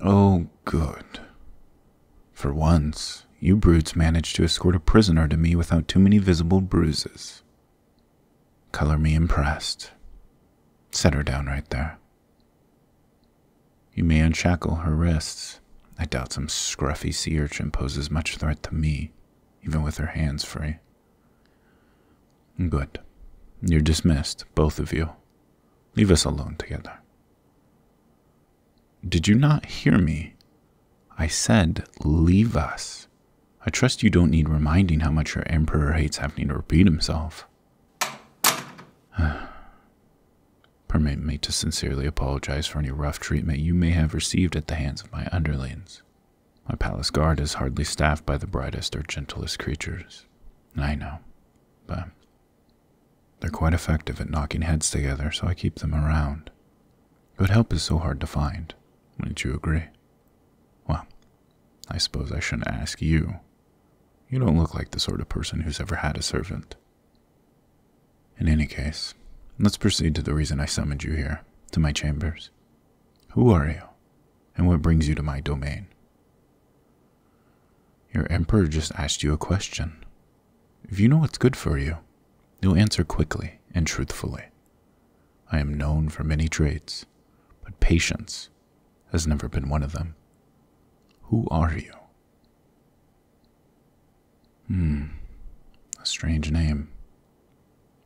Oh, good. For once, you brutes managed to escort a prisoner to me without too many visible bruises. Color me impressed. Set her down right there. You may unshackle her wrists. I doubt some scruffy sea urchin poses much threat to me, even with her hands free. Good. You're dismissed, both of you. Leave us alone together. Did you not hear me? I said, leave us. I trust you don't need reminding how much your emperor hates having to repeat himself. Permit me to sincerely apologize for any rough treatment you may have received at the hands of my underlings. My palace guard is hardly staffed by the brightest or gentlest creatures. I know, but they're quite effective at knocking heads together, so I keep them around. Good help is so hard to find. Wouldn't you agree? Well, I suppose I shouldn't ask you. You don't look like the sort of person who's ever had a servant. In any case, let's proceed to the reason I summoned you here, to my chambers. Who are you, and what brings you to my domain? Your emperor just asked you a question. If you know what's good for you, you'll answer quickly and truthfully. I am known for many traits, but patience has never been one of them. Who are you? Hm, a strange name.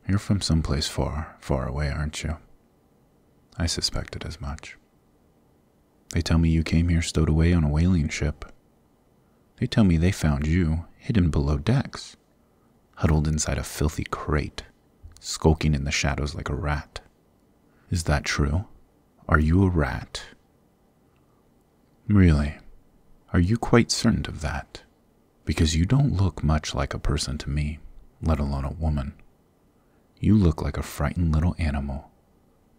You're from some place far, far away, aren't you? I suspected as much. They tell me you came here stowed away on a whaling ship. They tell me they found you hidden below decks, huddled inside a filthy crate, skulking in the shadows like a rat. Is that true? Are you a rat? Really? Are you quite certain of that? Because you don't look much like a person to me, let alone a woman. You look like a frightened little animal,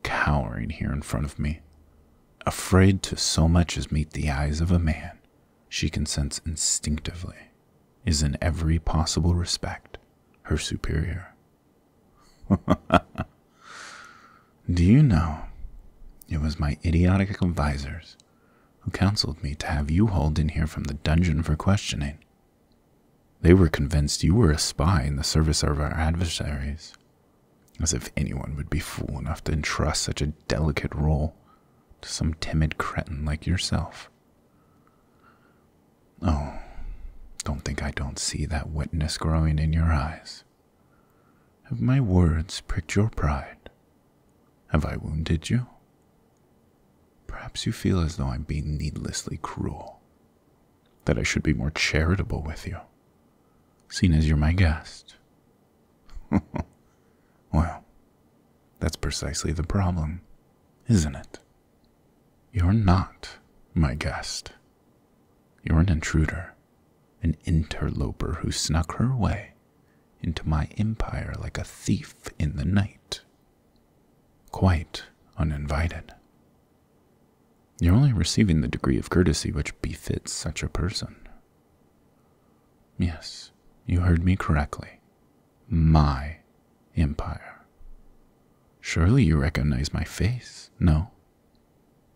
cowering here in front of me, afraid to so much as meet the eyes of a man she consents instinctively is in every possible respect her superior. Do you know, it was my idiotic advisers who counseled me to have you hauled in here from the dungeon for questioning. They were convinced you were a spy in the service of our adversaries, as if anyone would be fool enough to entrust such a delicate role to some timid cretin like yourself. Oh, don't think I don't see that wetness growing in your eyes. Have my words pricked your pride have I wounded you? Perhaps you feel as though I'm being needlessly cruel, that I should be more charitable with you, seeing as you're my guest. well, that's precisely the problem, isn't it? You're not my guest. You're an intruder, an interloper who snuck her way into my empire like a thief in the night, quite uninvited. You're only receiving the degree of courtesy which befits such a person. Yes, you heard me correctly. My empire. Surely you recognize my face, no?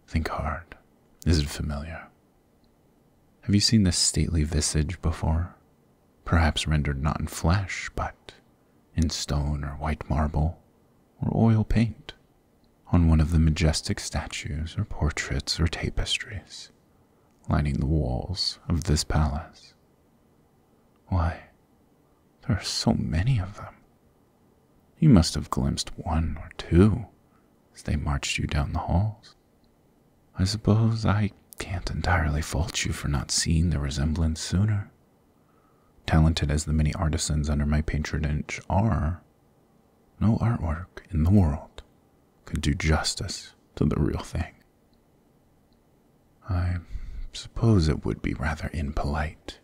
Think hard. Is it familiar? Have you seen this stately visage before? Perhaps rendered not in flesh, but in stone or white marble or oil paint on one of the majestic statues or portraits or tapestries lining the walls of this palace. Why, there are so many of them. You must have glimpsed one or two as they marched you down the halls. I suppose I can't entirely fault you for not seeing the resemblance sooner. Talented as the many artisans under my patronage are, no artwork in the world could do justice to the real thing. I suppose it would be rather impolite,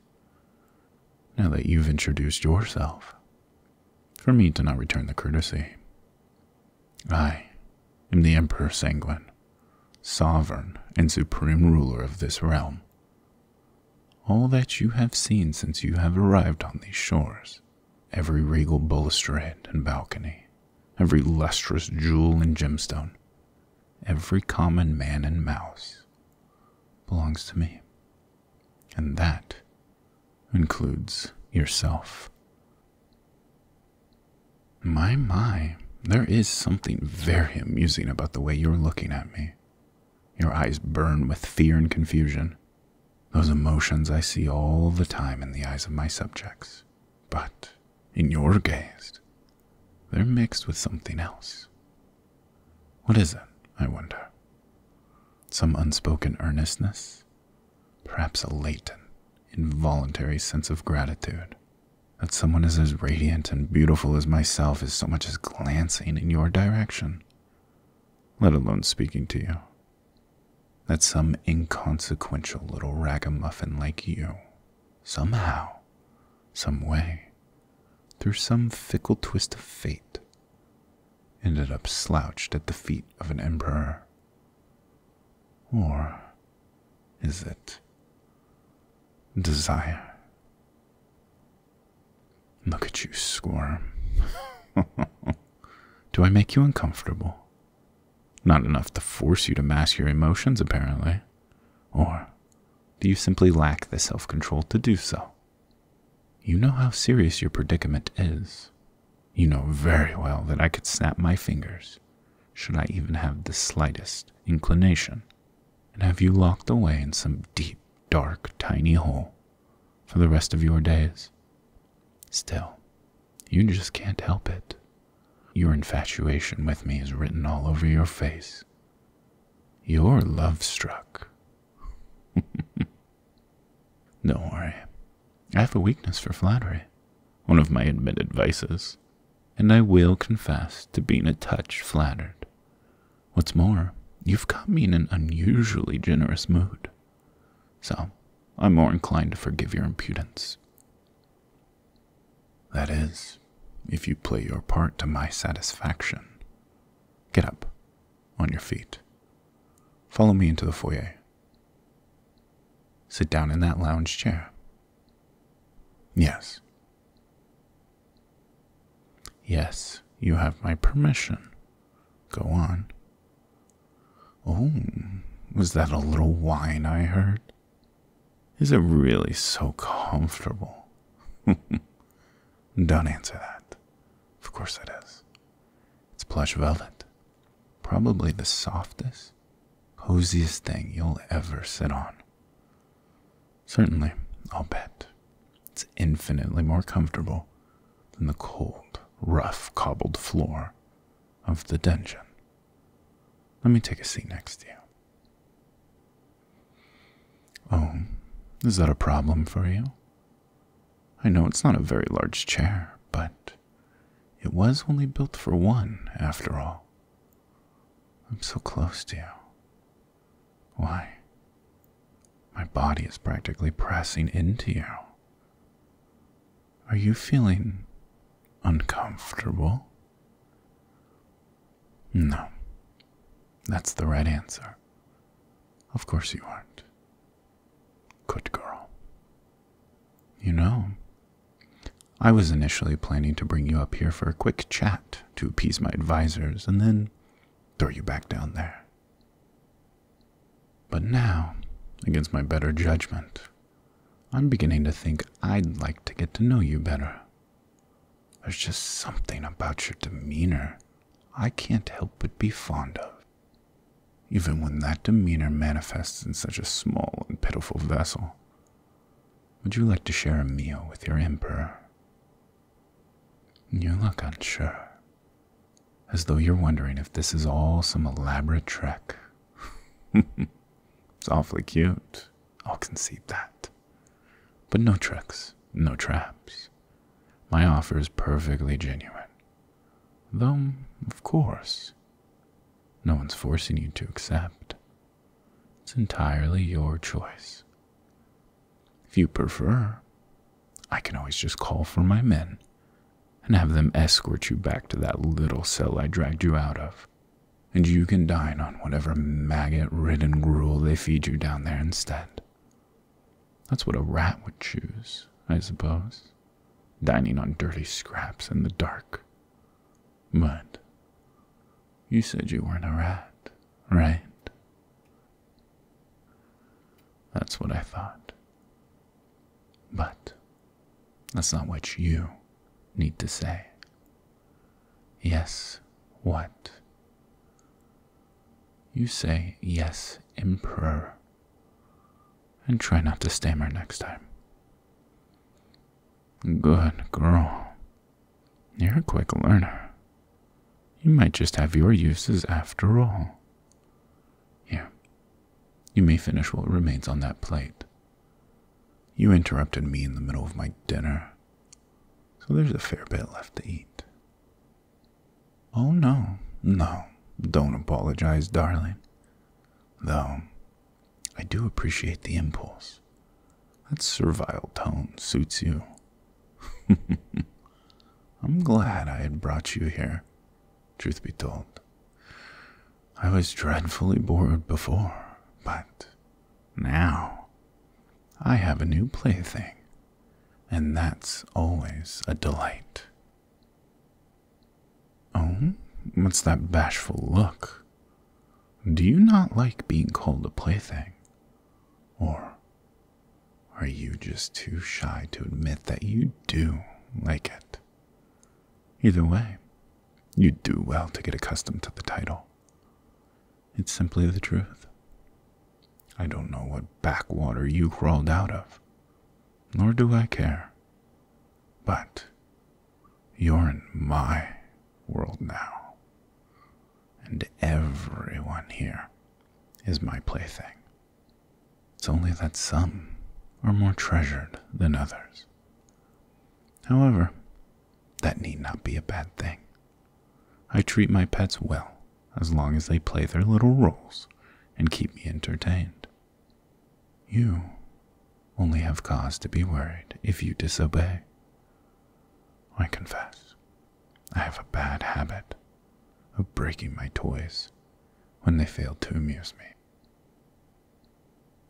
now that you've introduced yourself, for me to not return the courtesy. I am the Emperor Sanguine, sovereign and supreme ruler of this realm. All that you have seen since you have arrived on these shores, every regal balustrade and balcony, every lustrous jewel and gemstone, every common man and mouse, belongs to me and that includes yourself. My, my, there is something very amusing about the way you're looking at me. Your eyes burn with fear and confusion, those emotions I see all the time in the eyes of my subjects. But in your gaze, they're mixed with something else. What is it, I wonder? Some unspoken earnestness? perhaps a latent, involuntary sense of gratitude that someone is as radiant and beautiful as myself is so much as glancing in your direction, let alone speaking to you. That some inconsequential little ragamuffin like you, somehow, some way, through some fickle twist of fate, ended up slouched at the feet of an emperor. Or is it desire? Look at you squirm. Do I make you uncomfortable? Not enough to force you to mask your emotions, apparently. Or do you simply lack the self control to do so? You know how serious your predicament is. You know very well that I could snap my fingers, should I even have the slightest inclination, and have you locked away in some deep, dark, tiny hole for the rest of your days. Still, you just can't help it. Your infatuation with me is written all over your face. You're love struck. Don't worry. I have a weakness for flattery, one of my admitted vices, and I will confess to being a touch flattered. What's more, you've got me in an unusually generous mood, so I'm more inclined to forgive your impudence. That is, if you play your part to my satisfaction. Get up on your feet. Follow me into the foyer. Sit down in that lounge chair. Yes. Yes, you have my permission. Go on. Oh, was that a little whine I heard? Is it really so comfortable? Don't answer that. Of course it is. It's plush velvet. Probably the softest, coziest thing you'll ever sit on. Certainly, I'll bet. It's infinitely more comfortable than the cold, rough, cobbled floor of the dungeon. Let me take a seat next to you. Oh, is that a problem for you? I know it's not a very large chair, but it was only built for one, after all. I'm so close to you. Why? My body is practically pressing into you. Are you feeling uncomfortable? No. That's the right answer. Of course you aren't. Good girl. You know, I was initially planning to bring you up here for a quick chat to appease my advisers and then throw you back down there. But now, against my better judgment, I'm beginning to think I'd like to get to know you better. There's just something about your demeanor I can't help but be fond of, even when that demeanor manifests in such a small and pitiful vessel. Would you like to share a meal with your emperor? You look unsure, as though you're wondering if this is all some elaborate trick. it's awfully cute, I'll concede that. But no tricks, no traps. My offer is perfectly genuine. Though, of course, no one's forcing you to accept. It's entirely your choice. If you prefer, I can always just call for my men and have them escort you back to that little cell I dragged you out of. And you can dine on whatever maggot ridden gruel they feed you down there instead. That's what a rat would choose, I suppose, dining on dirty scraps in the dark. But you said you weren't a rat, right? That's what I thought. But that's not what you need to say. Yes, what? You say yes, Emperor, and try not to stammer next time. Good girl. You're a quick learner. You might just have your uses after all. Here, you may finish what remains on that plate. You interrupted me in the middle of my dinner. So there's a fair bit left to eat. Oh, no, no, don't apologize, darling. Though, I do appreciate the impulse. That servile tone suits you. I'm glad I had brought you here, truth be told. I was dreadfully bored before, but now, I have a new plaything, and that's always a delight. Oh, what's that bashful look? Do you not like being called a plaything? Or are you just too shy to admit that you do like it? Either way, you do well to get accustomed to the title. It's simply the truth. I don't know what backwater you crawled out of, nor do I care. But you're in my world now, and everyone here is my plaything. It's only that some are more treasured than others. However, that need not be a bad thing. I treat my pets well as long as they play their little roles and keep me entertained. You only have cause to be worried if you disobey. I confess, I have a bad habit of breaking my toys when they fail to amuse me.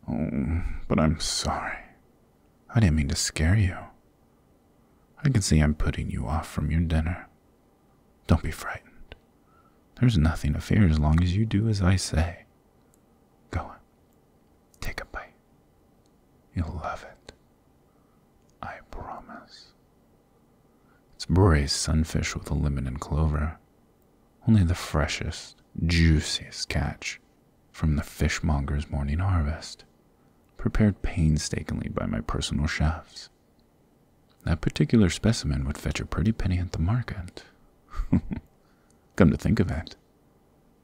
Oh, but I'm sorry. I didn't mean to scare you. I can see I'm putting you off from your dinner. Don't be frightened. There's nothing to fear as long as you do as I say. Go on. Take a bite. You'll love it. I promise. It's Bore's sunfish with a lemon and clover. Only the freshest, juiciest catch from the fishmonger's morning harvest, prepared painstakingly by my personal chefs. That particular specimen would fetch a pretty penny at the market. Come to think of it,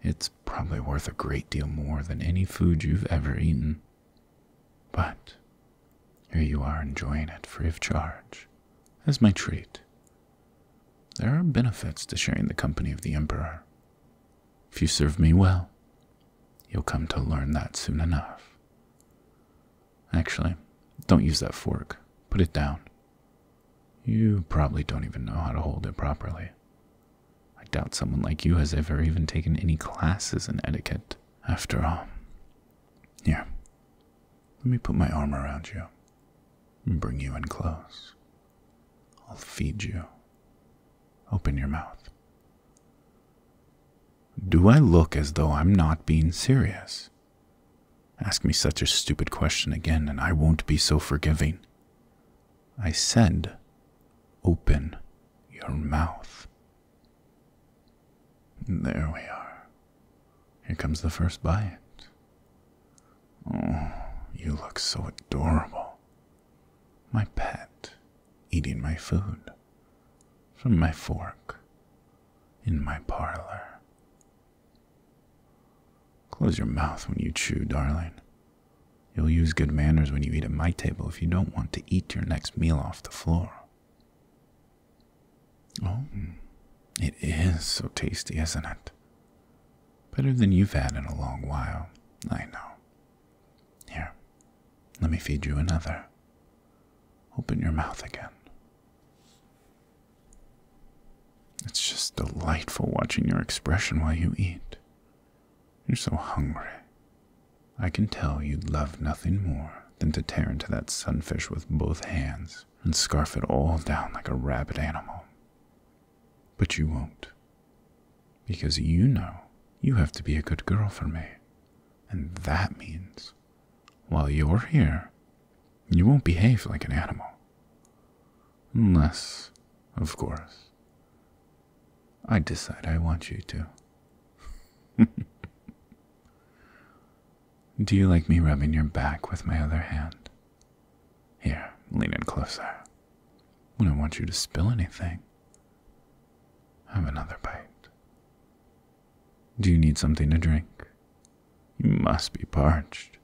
it's probably worth a great deal more than any food you've ever eaten. But here you are enjoying it free of charge as my treat there are benefits to sharing the company of the Emperor. If you serve me well, you'll come to learn that soon enough. Actually, don't use that fork. Put it down. You probably don't even know how to hold it properly. I doubt someone like you has ever even taken any classes in etiquette, after all. Here, let me put my arm around you and bring you in close. I'll feed you. Open your mouth. Do I look as though I'm not being serious? Ask me such a stupid question again, and I won't be so forgiving. I said, Open your mouth. There we are. Here comes the first bite. Oh, you look so adorable. My pet, eating my food. From my fork. In my parlor. Close your mouth when you chew, darling. You'll use good manners when you eat at my table if you don't want to eat your next meal off the floor. Oh, it is so tasty, isn't it? Better than you've had in a long while, I know. Here, let me feed you another. Open your mouth again. It's just delightful watching your expression while you eat. You're so hungry. I can tell you'd love nothing more than to tear into that sunfish with both hands and scarf it all down like a rabid animal. But you won't. Because you know you have to be a good girl for me. And that means while you're here, you won't behave like an animal. Unless, of course, I decide I want you to. Do you like me rubbing your back with my other hand? Here, lean in closer. I don't want you to spill anything. Have another bite. Do you need something to drink? You must be parched.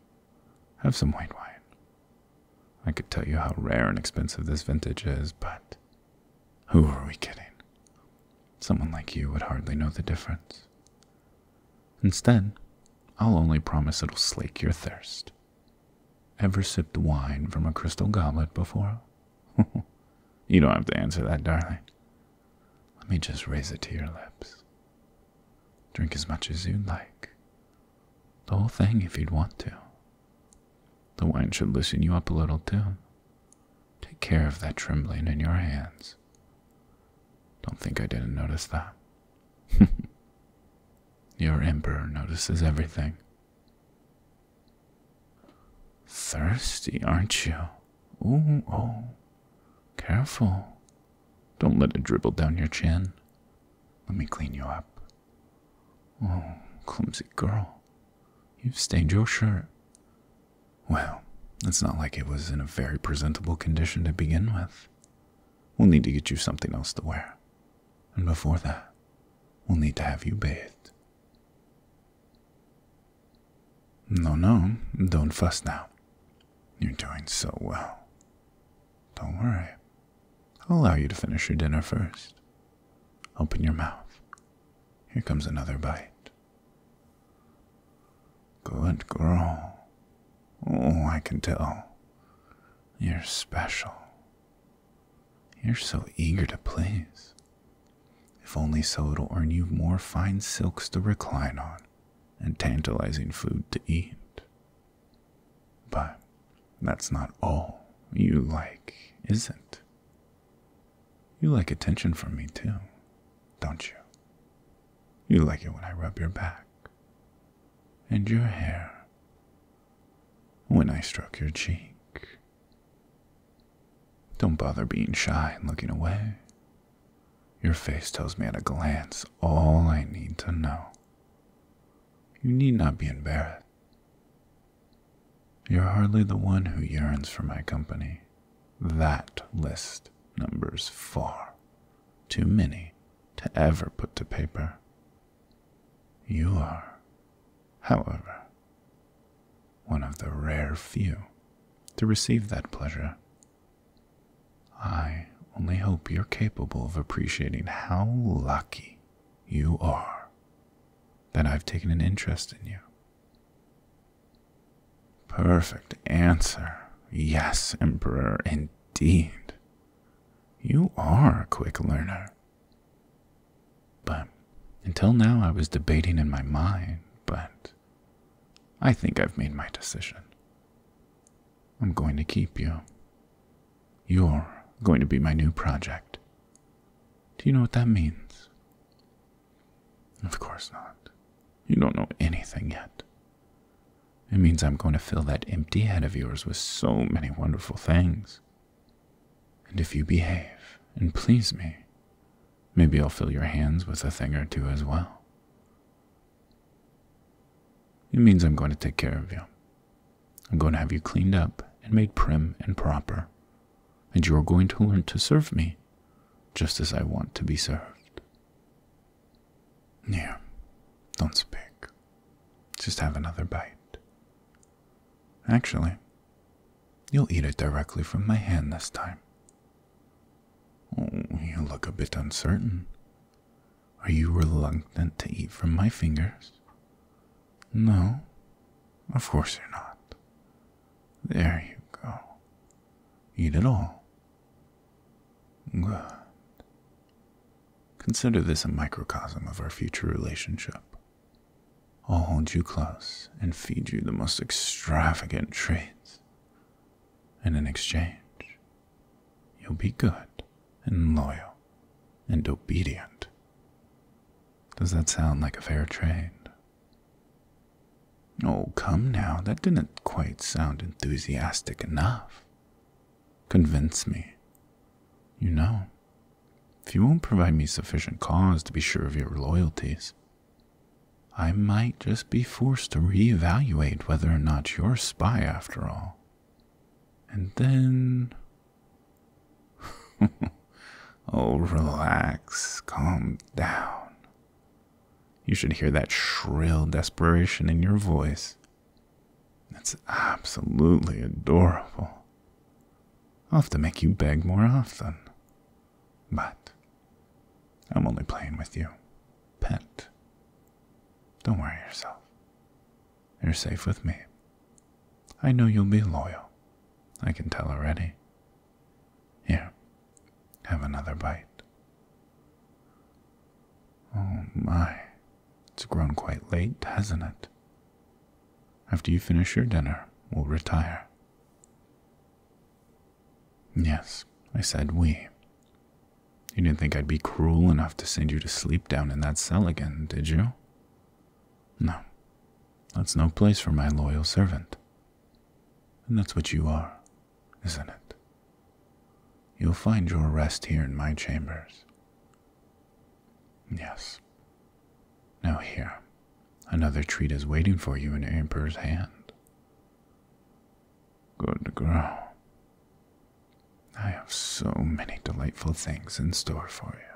Have some white wine. I could tell you how rare and expensive this vintage is, but who are we kidding? Someone like you would hardly know the difference. Instead, I'll only promise it'll slake your thirst. Ever sipped wine from a crystal goblet before? you don't have to answer that, darling. Let me just raise it to your lips. Drink as much as you'd like. The whole thing, if you'd want to. The wine should loosen you up a little, too. Take care of that trembling in your hands. Don't think I didn't notice that. Your emperor notices everything. Thirsty, aren't you? Oh, oh. Careful. Don't let it dribble down your chin. Let me clean you up. Oh, clumsy girl. You've stained your shirt. Well, it's not like it was in a very presentable condition to begin with. We'll need to get you something else to wear. And before that, we'll need to have you bathed. No, no, don't fuss now. You're doing so well. Don't worry. I'll allow you to finish your dinner first. Open your mouth. Here comes another bite. Good girl. Oh, I can tell. You're special. You're so eager to please. If only so, it'll earn you more fine silks to recline on and tantalizing food to eat. But that's not all you like, is it? You like attention from me, too, don't you? You like it when I rub your back and your hair, when I stroke your cheek. Don't bother being shy and looking away. Your face tells me at a glance all I need to know. You need not be embarrassed. You're hardly the one who yearns for my company. That list numbers far too many to ever put to paper. You are, however, one of the rare few to receive that pleasure. I only hope you're capable of appreciating how lucky you are that I've taken an interest in you Perfect answer. Yes, Emperor, indeed. You are a quick learner. But until now, I was debating in my mind, but I think I've made my decision. I'm going to keep you. You're going to be my new project. Do you know what that means? Of course not. You don't know anything yet. It means I'm going to fill that empty head of yours with so many wonderful things. And if you behave and please me, maybe I'll fill your hands with a thing or two as well. It means I'm going to take care of you. I'm going to have you cleaned up and made prim and proper, and you're going to learn to serve me just as I want to be served. Here, don't speak. Just have another bite. Actually, you'll eat it directly from my hand this time. Oh, you look a bit uncertain. Are you reluctant to eat from my fingers? No, of course you're not. There you go. Eat it all. Good. Consider this a microcosm of our future relationship. I'll hold you close and feed you the most extravagant treats. And in exchange, you'll be good and loyal and obedient. Does that sound like a fair trade? Oh, come now, that didn't quite sound enthusiastic enough. Convince me. You know, if you won't provide me sufficient cause to be sure of your loyalties, I might just be forced to reevaluate whether or not you're a spy after all. And then. oh, relax, calm down. You should hear that shrill desperation in your voice. It's absolutely adorable. I'll have to make you beg more often. But I'm only playing with you, pet. Don't worry yourself. You're safe with me. I know you'll be loyal. I can tell already. Here, have another bite. Oh my, it's grown quite late, hasn't it? After you finish your dinner, we'll retire. Yes, I said we. You didn't think I'd be cruel enough to send you to sleep down in that cell again, did you? No, that's no place for my loyal servant. And that's what you are, isn't it? You'll find your rest here in my chambers. Yes. Now, here, another treat is waiting for you in Emperor's hand. Good girl. I have so many delightful things in store for you.